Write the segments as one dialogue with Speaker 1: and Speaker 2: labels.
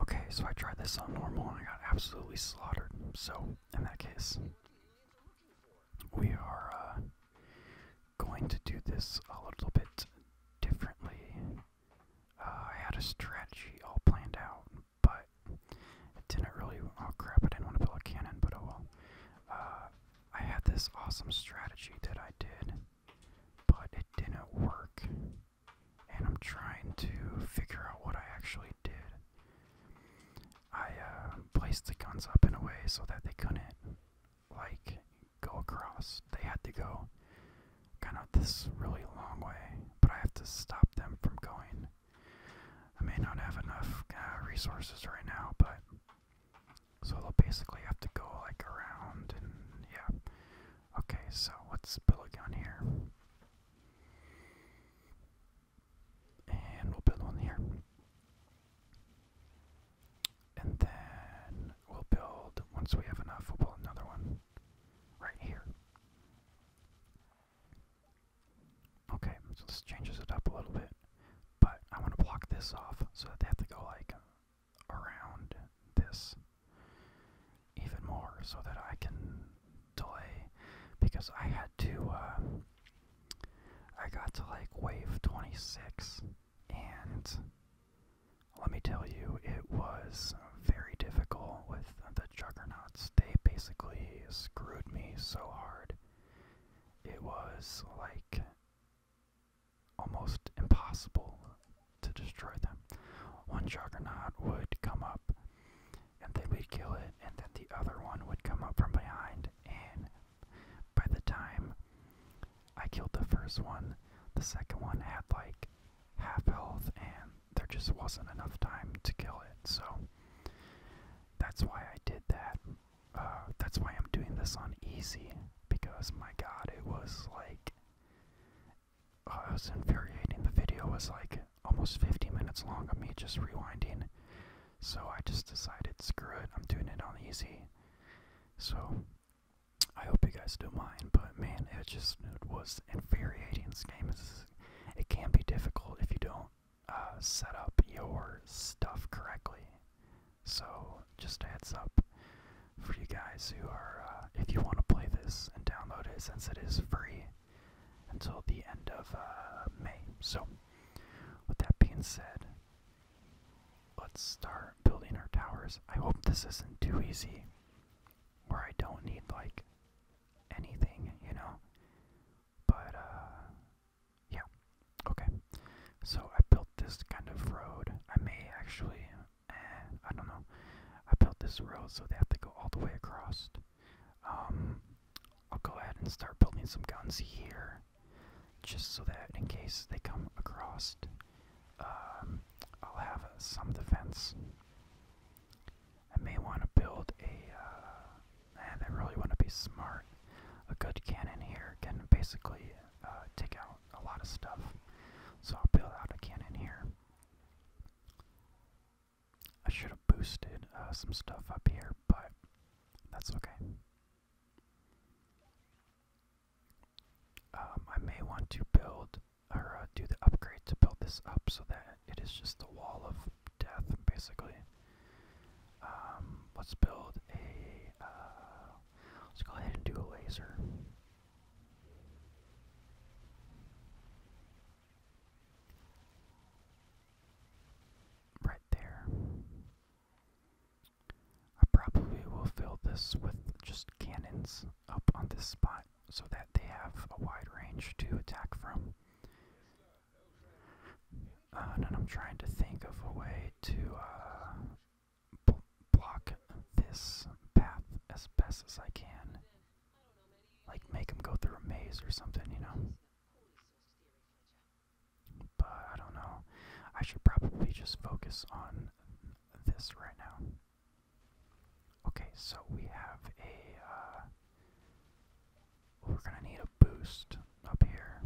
Speaker 1: Okay, so I tried this on normal and I got absolutely slaughtered. So, in that case, we are uh, going to do this a little bit differently. Uh, I had a strategy all planned out, but it didn't really. Oh crap, I didn't want to build a cannon, but oh well. Uh, I had this awesome strategy that I did, but it didn't work and I'm trying to figure out what I actually did. I uh, placed the guns up in a way so that they couldn't, like, go across. They had to go kind of this really long way, but I have to stop them from going. I may not have enough uh, resources right now, but. So they'll basically have to go, like, around and, yeah. Okay, so what's build on here? And we'll build one here. And then we'll build, once we have enough, we'll build another one right here. Okay, so changes it up a little bit. But I want to block this off so that they have to go like around this even more so that I can delay because I had to uh, I got to like wave 26 and let me tell you it was very difficult with the juggernauts they basically screwed me so hard it was like almost impossible to destroy them. One juggernaut would come up and they would kill it, and then the other one would come up from behind. And by the time I killed the first one, the second one had like half health, and there just wasn't enough time to kill it. So that's why I did that. Uh, that's why I'm doing this on easy because my god, it was like uh, it was infuriating. The video was like almost 50 minutes long of me just rewinding. So I just decided, screw it, I'm doing it on easy. So I hope you guys don't mind, but man, it just was infuriating. This game is it can be difficult if you don't uh, set up your stuff correctly. So just heads up for you guys who are, uh, if you want to play this and download it since it is free until the end of uh, May. So, with that being said, let's start building our towers. I hope this isn't too easy or I don't need like anything, you know? But, uh, yeah. Okay. So, I built this kind of road. I may actually eh, I don't know. I built this road so they have to go all the way across. Um, I'll go ahead and start building some guns here, just so that in case they come across, um, I'll have uh, some defense. I may want to build a. Uh, and I really want to be smart. A good cannon here can basically uh, take out a lot of stuff. So I'll build out a cannon here. I should have boosted uh, some stuff up here, but that's okay. Um, I may want to build or uh, do the upgrade to build this up so that it is just the wall of death, basically. Um, let's build a. Uh, let's go ahead and do a laser. Right there. I probably will fill this with just cannons up on this spot so that they have a wide range to attack from. Uh, and I'm trying to think of a way to uh, block this path as best as I can. Like make them go through a maze or something, you know. But I don't know. I should probably just focus on this right now. Okay, so we have a. Uh, we're gonna need a boost up here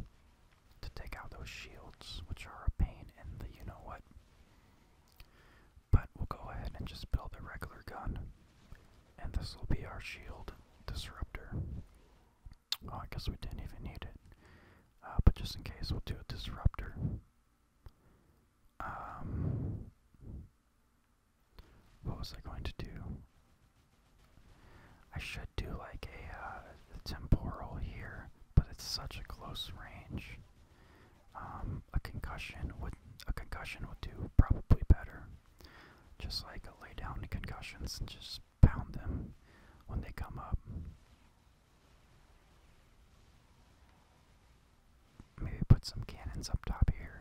Speaker 1: to take out those shields, which are a pain in the you know what. But we'll go ahead and just build a regular gun. And this will be our shield disruptor. I guess we didn't even need it. Uh, but just in case, we'll do a disruptor. Um, what was I going to do? I should do like a uh, temporal here, but it's such a close range. Um, a concussion would a concussion would do probably better. Just like a lay down the concussions and just pound them when they come up. Maybe put some cannons up top here.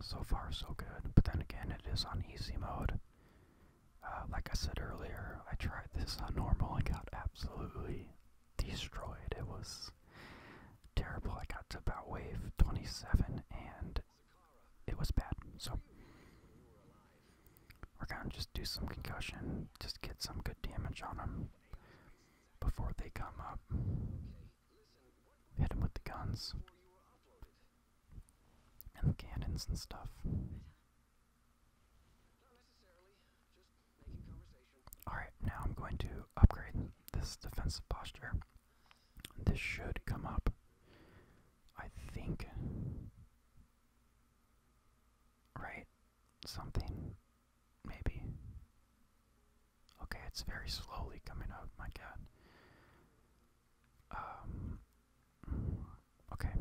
Speaker 1: So far so good, but then again it is on easy mode. Uh, like I said earlier, I tried this on normal and got absolutely destroyed. It was terrible. I got to about wave 27 and it was bad. So we're gonna just do some concussion, just get some good damage on them before they come up. Hit them with the guns and the cannons and stuff. Alright, now I'm going to upgrade this defensive posture. This should come up. I think. Right? Something. Maybe. Okay, it's very slowly coming up, my god. Um, okay.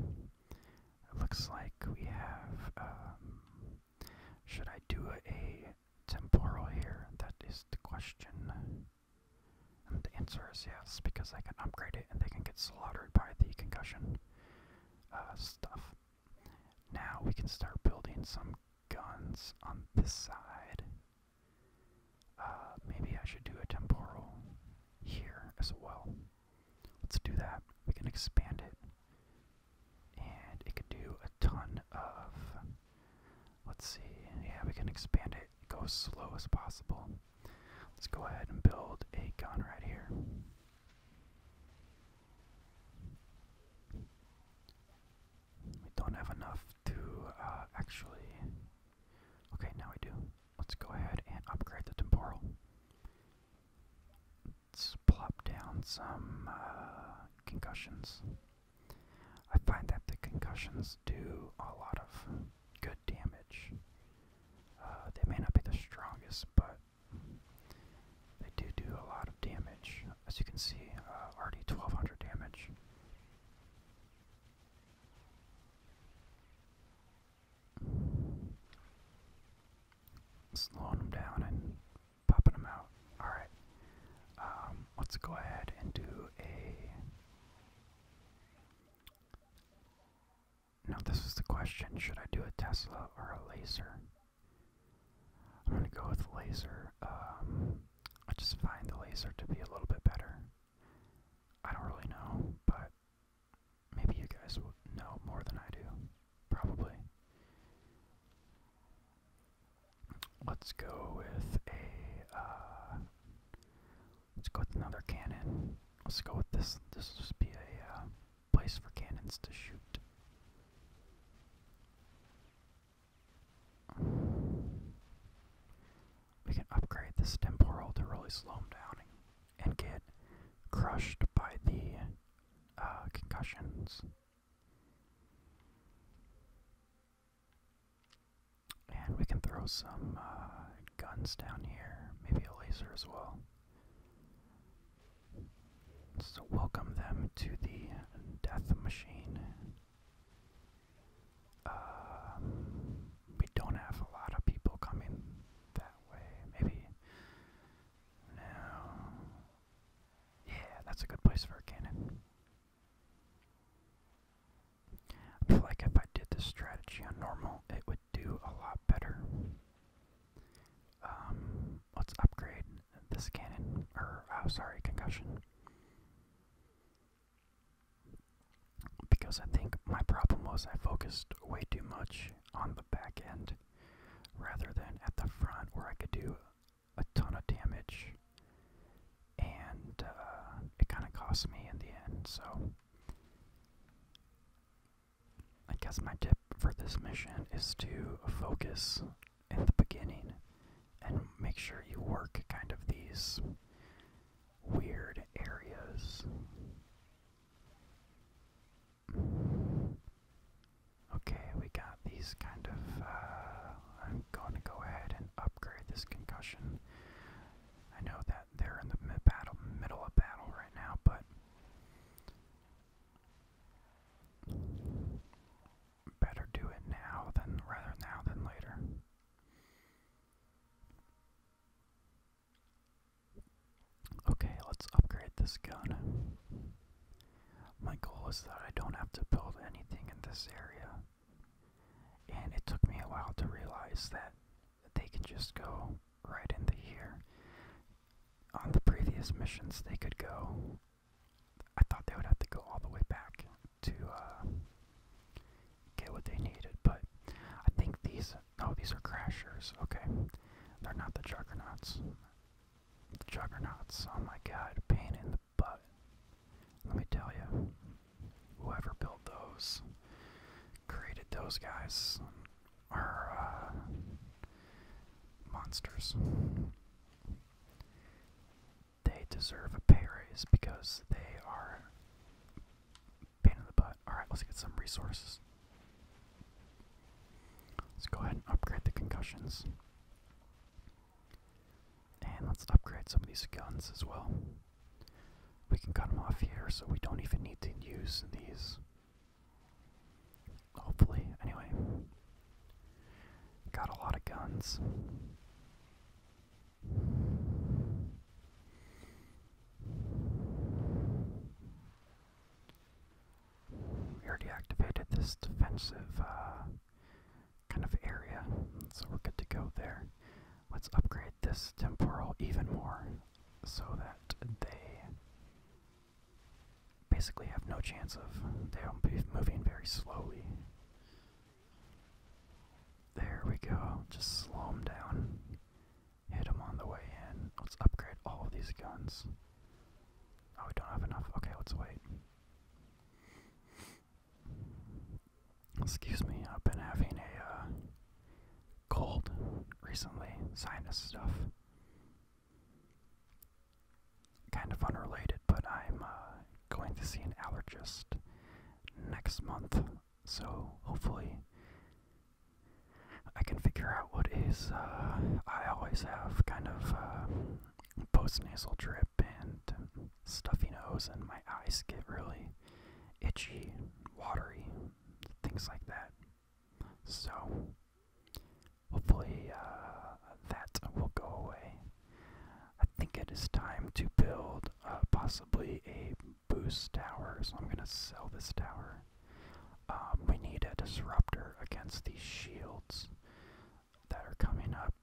Speaker 1: It looks like we have. Um, should I do a, temporal here? That is the question. And the answer is yes, because I can upgrade it and they can get slaughtered by the concussion uh, stuff. Now we can start building some guns on this side. Uh, maybe I should do a temporal here as well. Let's do that. We can expand it. And it can do a ton of. Let's see. Yeah, we can expand it. Go as slow as possible. Let's go ahead and build a gun right here. We don't have enough to uh, actually. Okay, now we do. Let's go ahead and upgrade the temporal. Let's plop down some uh, concussions. I find that the concussions do a lot of good damage. Uh, they may not be the strongest, but they do do a lot of damage. As you can see, uh, already 1200 damage slowing them down and popping them out. All right. Um, let's go ahead and do a. Now this is the question: Should I do a Tesla or a laser? I'm gonna go with laser. Um, I just find the laser to be a little bit better. I don't really know, but maybe you guys will know more than I do. Probably. Let's go with a. Uh, let's go with another cannon. Let's go with this. This will just be a uh, place for cannons to shoot we can upgrade this temporal to really slow him down and, get crushed by the uh, concussions. And we can throw some uh, guns down here, maybe a laser as well. So, welcome them to the death machine. Um, we don't have a lot of people coming that way. Maybe. Yeah, that's a good place for a cannon. I feel like if I did this strategy on normal, it would do a lot better. Um, let's upgrade this cannon. Or, oh, sorry, concussion. Because I think my problem was I focused way too much on the back end rather than at the front where I could do a ton of damage. And uh, it kind of cost me in the end, so. I guess my tip for this mission is to focus in the beginning and make sure you work kind of these weird areas. Okay, we got these kind of. Uh, I'm going to go ahead and upgrade this concussion. I know that they're in the mid middle of battle right now, but better do it now than rather now than later. Okay, let's upgrade this gun. My goal is that I don't have to build anything in this area. And it took me a while to realize that they can just go right into here. On the previous missions, they could go. I thought they would have to go all the way back to uh, get what they needed. But I think these no, these are crashers. Okay, they're not the juggernauts. The juggernauts. Oh my god, pain in the butt. Let me tell you, whoever built those, created those guys, are uh, monsters they deserve a pay raise because they are pain in the butt. Alright, let's get some resources. Let's go ahead and upgrade the concussions. And let's upgrade some of these guns as well. We can cut them off here so we don't even need to use these. Hopefully, anyway. Got a lot of guns. We already activated this defensive uh, kind of area, so we're good to go there. Let's upgrade this temporal even more so that they basically have no chance of they'll be moving very slowly. There we go. Just slow him down. Hit him on the way in. Let's upgrade all these guns. Oh, we don't have enough. Okay, let's wait. Excuse me, I've been having a uh, cold recently, sinus stuff. Kind of unrelated, but I'm uh, going to see an allergist next month, so hopefully I can figure out what is. Uh, I always have kind of uh, post nasal drip and um, stuffy nose, and my eyes get really itchy, watery, things like that. So hopefully uh, that will go away. I think it is time to build uh, possibly a boost tower, so I'm going to sell this tower. Um, we need a disruptor against these shields that are coming up,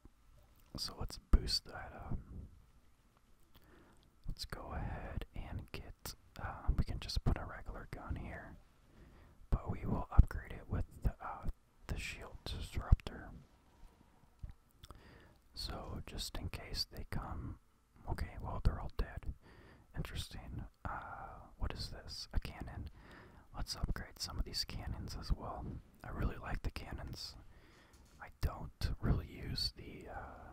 Speaker 1: so let's boost that up. Let's go ahead and get, uh, we can just put a regular gun here, but we will upgrade it with the uh, the shield disruptor. So just in case they come, okay, well they're all dead. Interesting. Uh, what is this? A cannon. Let's upgrade some of these cannons as well. I really like the cannons. I don't really use the. Uh,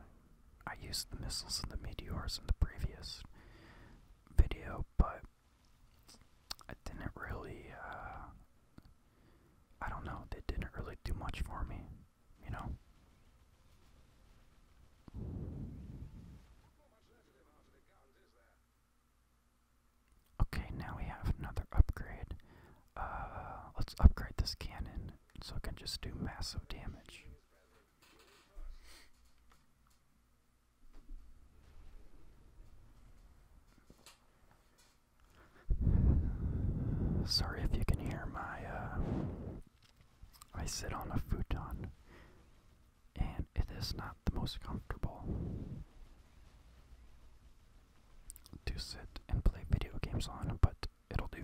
Speaker 1: I used the missiles and the meteors in the previous video, but I didn't really uh, I don't know, they didn't really do much for me, you know? Okay, now we have another upgrade. Uh, let's upgrade this cannon so it can just do massive damage. Sorry if you can hear my, uh, I sit on a futon, and it is not the most comfortable to sit and play video games on, but it'll do.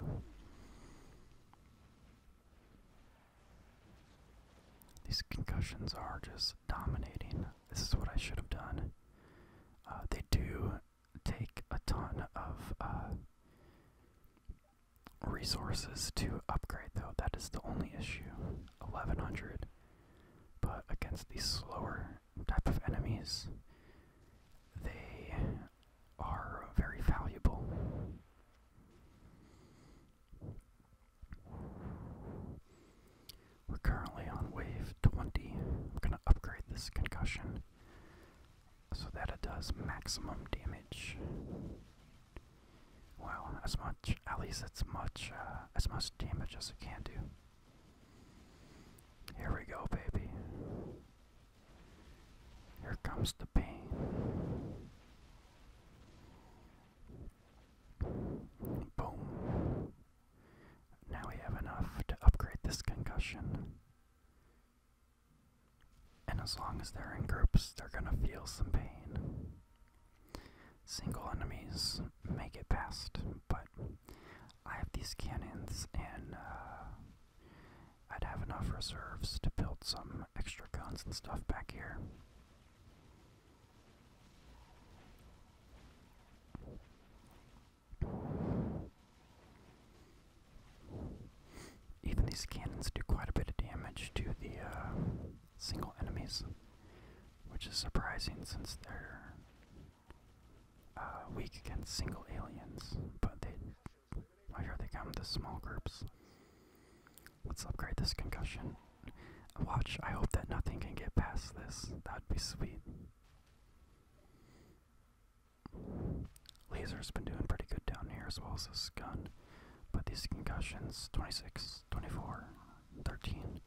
Speaker 1: These concussions are just dominating. This is what I should have done. Uh, they do take a ton of uh, resources to upgrade, though. That is the only issue. 1100. But against these slower type of enemies, they are very valuable. We're currently on wave 20. i am gonna upgrade this concussion so that it does maximum damage. Well, as much, at least it's much, uh, as much damage as it can do. Here we go, baby. Here comes the pain. Boom. Now we have enough to upgrade this concussion. And as long as they're in groups, they're gonna feel some pain. Single enemies make it past, but I have these cannons, and uh, I'd have enough reserves to build some extra guns and stuff back here. Even these cannons do quite a bit of damage to the uh, single enemies, which is surprising since they're uh, weak against single aliens, but they. I they come to small groups. Let's upgrade this concussion. Watch, I hope that nothing can get past this. That'd be sweet. Laser's been doing pretty good down here as well as this gun. But these concussions 26, 24, 13.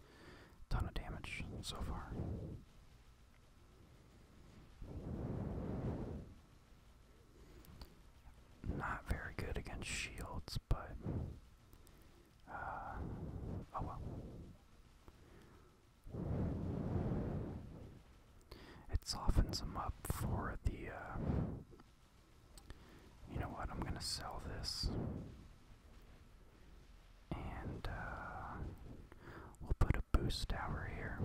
Speaker 1: Ton of damage so far. Not very good against shields, but Ah, oh well. It softens them up for the. Uh, you know what? I'm gonna sell this, and uh, we'll put a boost tower here.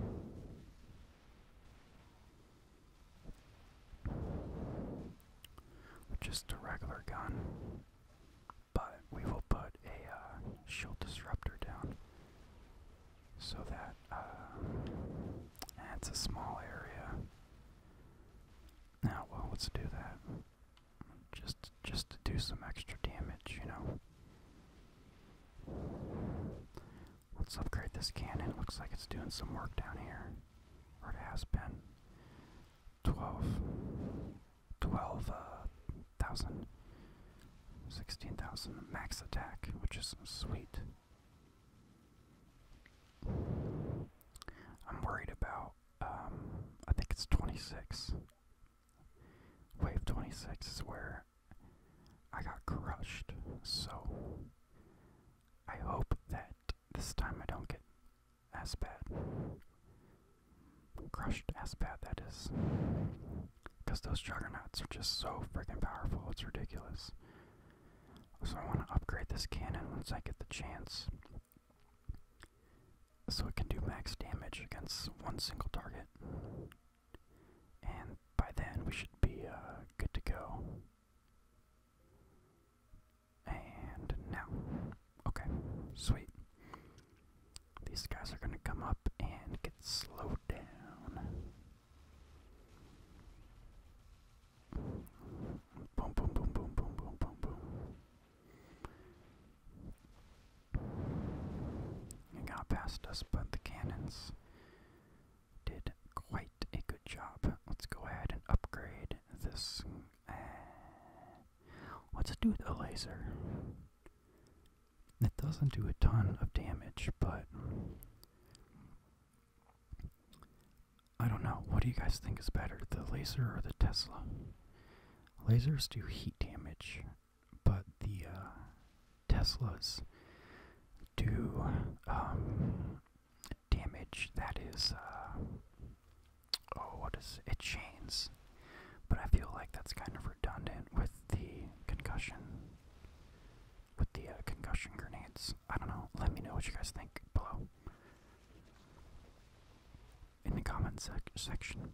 Speaker 1: Just a regular gun. But we will put a uh, shield disruptor down so that uh, it's a small area. Now, well, let's do that. Just, just to do some extra damage, you know. Let's upgrade this cannon. Looks like it's doing some work down here, or it has been twelve, twelve uh, thousand, sixteen thousand max attack, which is sweet. I'm worried about. Um, I think it's twenty six. Wave twenty six is where I got crushed. So I hope that this time I don't get as bad, Crushed as bad that is. Because those juggernauts are just so freaking powerful, it's ridiculous. So I want to upgrade this cannon once I get the chance. So it can do max damage against one single target. And by then we should be uh, good to go. And now. Okay, sweet. These guys are gonna come up and get slowed down. Boom, boom, boom, boom, boom, boom, boom, boom. It got past us, but the cannons did quite a good job. Let's go ahead and upgrade this Eh, what's it do with a laser? It doesn't do a ton of damage, but I don't know. What do you guys think is better, the laser or the Tesla? Lasers do heat damage, but the uh, Teslas do um, damage that is, uh, oh, what is it? It chains. But I feel like that's kind of redundant with the concussion, with the uh, concussion grenades. I don't know. Let me know what you guys think below in the comment sec section.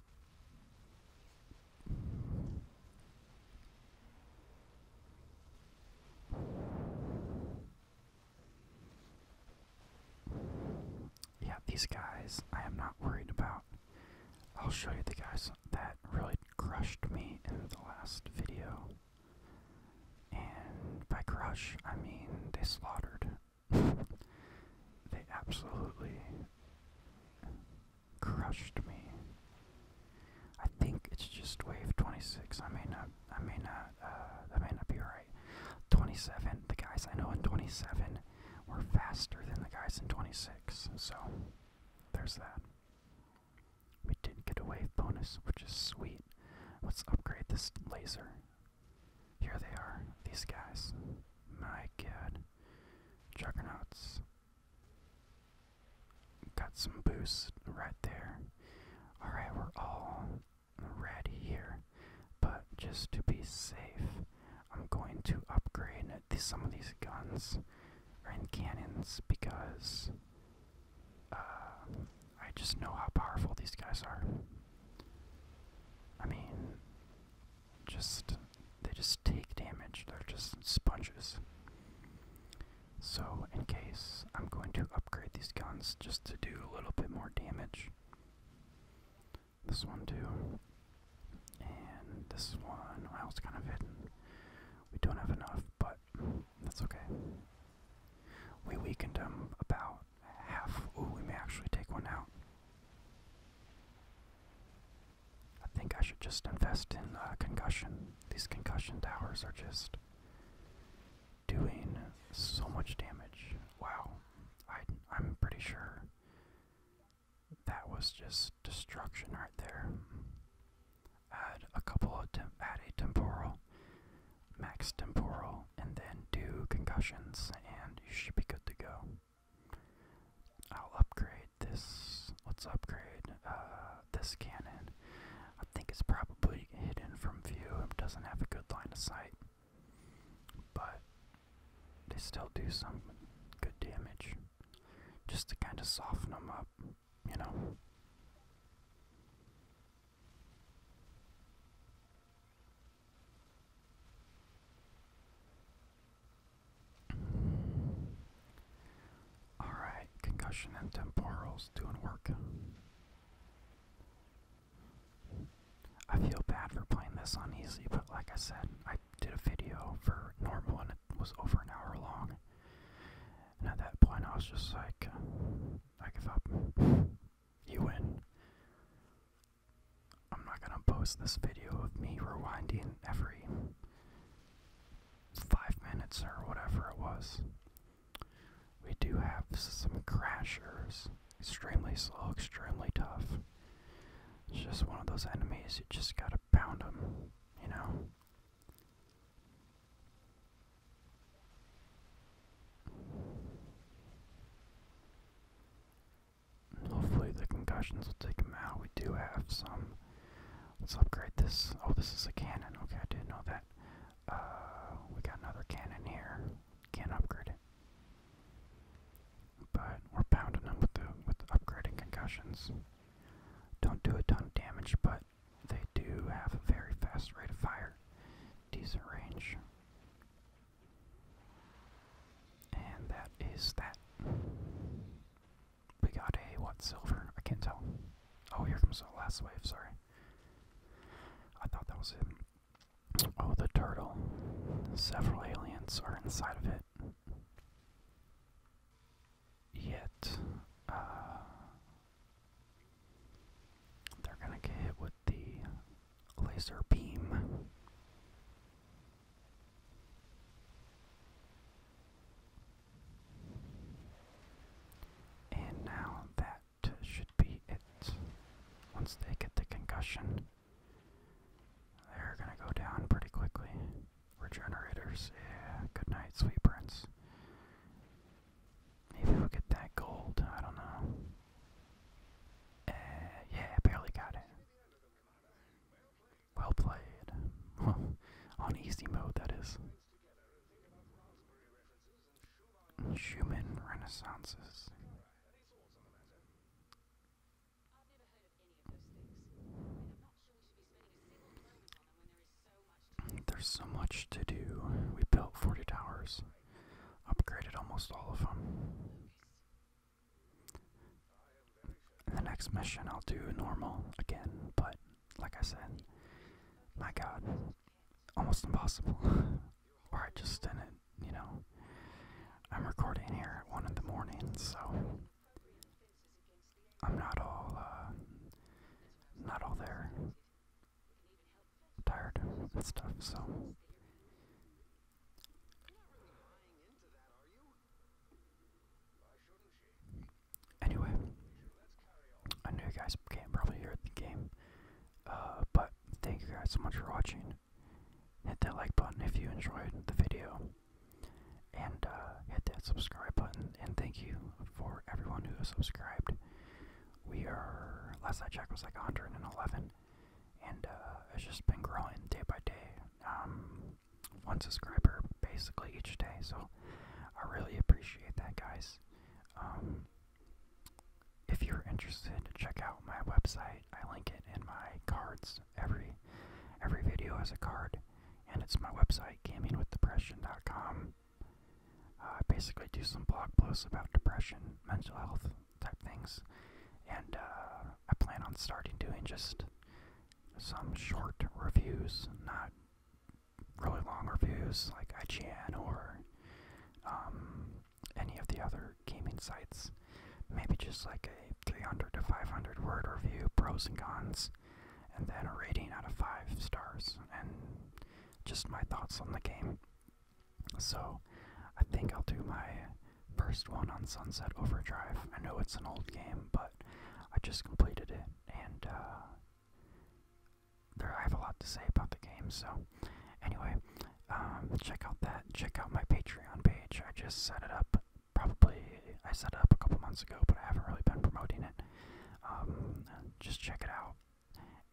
Speaker 1: Yeah, these guys I am not worried about. I'll show you the guys that really crushed me in the last video. And by crush, I mean they slaughtered. they absolutely crushed me. I think it's just wave 26. I may not I may not, uh, may not be right. 27, the guys I know in 27 were faster than the guys in 26, so there's that. We did get a wave bonus, which is sweet. Let's upgrade this laser. Here they are, these guys. My god. Juggernauts. Got some boost right there. Alright, we're all red here, but just to be safe, I'm going to upgrade some of these guns and cannons because uh, I just know how powerful these guys are. I mean, just they just take damage. They're just sponges. So in case I'm going to upgrade upgrade these guns just to do a little bit more damage. This one too. And this one, I was kind of hidden. We don't have enough, but that's okay. We weakened him about half. Ooh, we may actually take one out. I think I should just invest in uh, concussion. These concussion towers are just doing so much damage. Wow. I, I'm pretty sure that was just destruction right there. Add a couple of add a temporal, max temporal, and then do concussions, and you should be good to go. I'll upgrade this. Let's upgrade uh, this cannon I think it's probably hidden from view. It doesn't have a good line of sight, but they still do some good damage just to kind of soften them up, you know. Alright, concussion and temporals doing work. I feel bad for playing this on easy, but like I said, I did a video for normal and it was over an hour long. And at that point, I was just like, I give up. You win. I'm not gonna post this video of me rewinding every five minutes or whatever it was. We do have some crashers. Extremely slow, extremely tough. It's just one of those enemies, you just gotta pound them, you know? Hopefully the concussions will take him out. We do have some. Let's upgrade this. Oh, this is a cannon. Okay, I didn't know that. Uh, we got another cannon here. Can't upgrade it. But we're pounding them with the with the concussions. Don't do a ton of damage, but they do have a very fast rate of fire. Decent range. And that is that. We got a what silver? I can't tell. Oh, here comes the last wave, sorry. I thought that was him. Oh, the turtle. Several aliens are inside of it. Yet, uh, they're gonna get hit with the laser beam. And now that should be it. Once they get the concussion, they're gonna go down pretty quickly. Regenerators, yeah, good night, sweet prince. Maybe we'll get that gold, I don't know. Uh, yeah, barely got it. Well played. On easy mode, that is. Human renaissances. There's so much to do. We built 40 towers, upgraded almost all of them. the next mission, I'll do normal again, but like I said, my god, almost impossible. or I just didn't, you know. I'm recording here at 1 in the morning, so I'm not all, uh, not all there. Tired and stuff, so. Anyway, I know you guys can probably hear the game, uh, but thank you guys so much for watching. Hit that like button if you enjoyed the video, and uh, hit that subscribe button. And thank you for everyone who has subscribed. We are last I checked was like 111, and uh, it's just been growing day by day. Um, one subscriber basically each day, so I really appreciate that, guys. Um, if you're interested, check out my website. I link it in my cards. Every every video has a card, and it's my website, gamingwithdepression.com. Uh, I basically do some blog posts about depression, mental health type things, and uh, I plan on starting doing just some short reviews, not really long reviews like IGN or um, any of the other gaming sites. Maybe just like a 300 to 500 word review, pros and cons, and then a rating out of 5 stars, and just my thoughts on the game. So, I think I'll do my first one on Sunset Overdrive. I know it's an old game, but I just completed it, and uh, there, I have a lot to say about the game. So, anyway, um, check out that. Check out my Patreon page. I just set it up. Probably I set it up a couple months ago, but I haven't really been promoting it. Um, just check it out,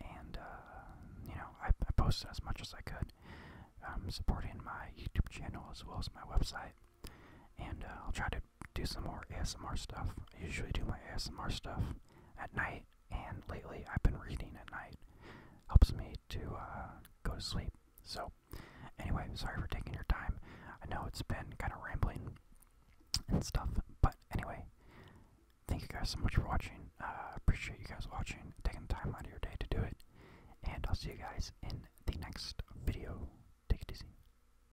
Speaker 1: and uh, you know, I, posted as much as I could. Um, supporting my YouTube channel as well as my website, and uh, I'll try to do some more ASMR stuff. I usually do my ASMR stuff at night, and lately I've been reading at night. Helps me to uh, go to sleep. So, anyway, sorry for taking your time. I know it's been kind of rambling and stuff, but anyway, thank you guys so much for watching. Uh, appreciate you guys watching, taking the time out of your day to do it, and I'll see you guys in the next video. Take it easy.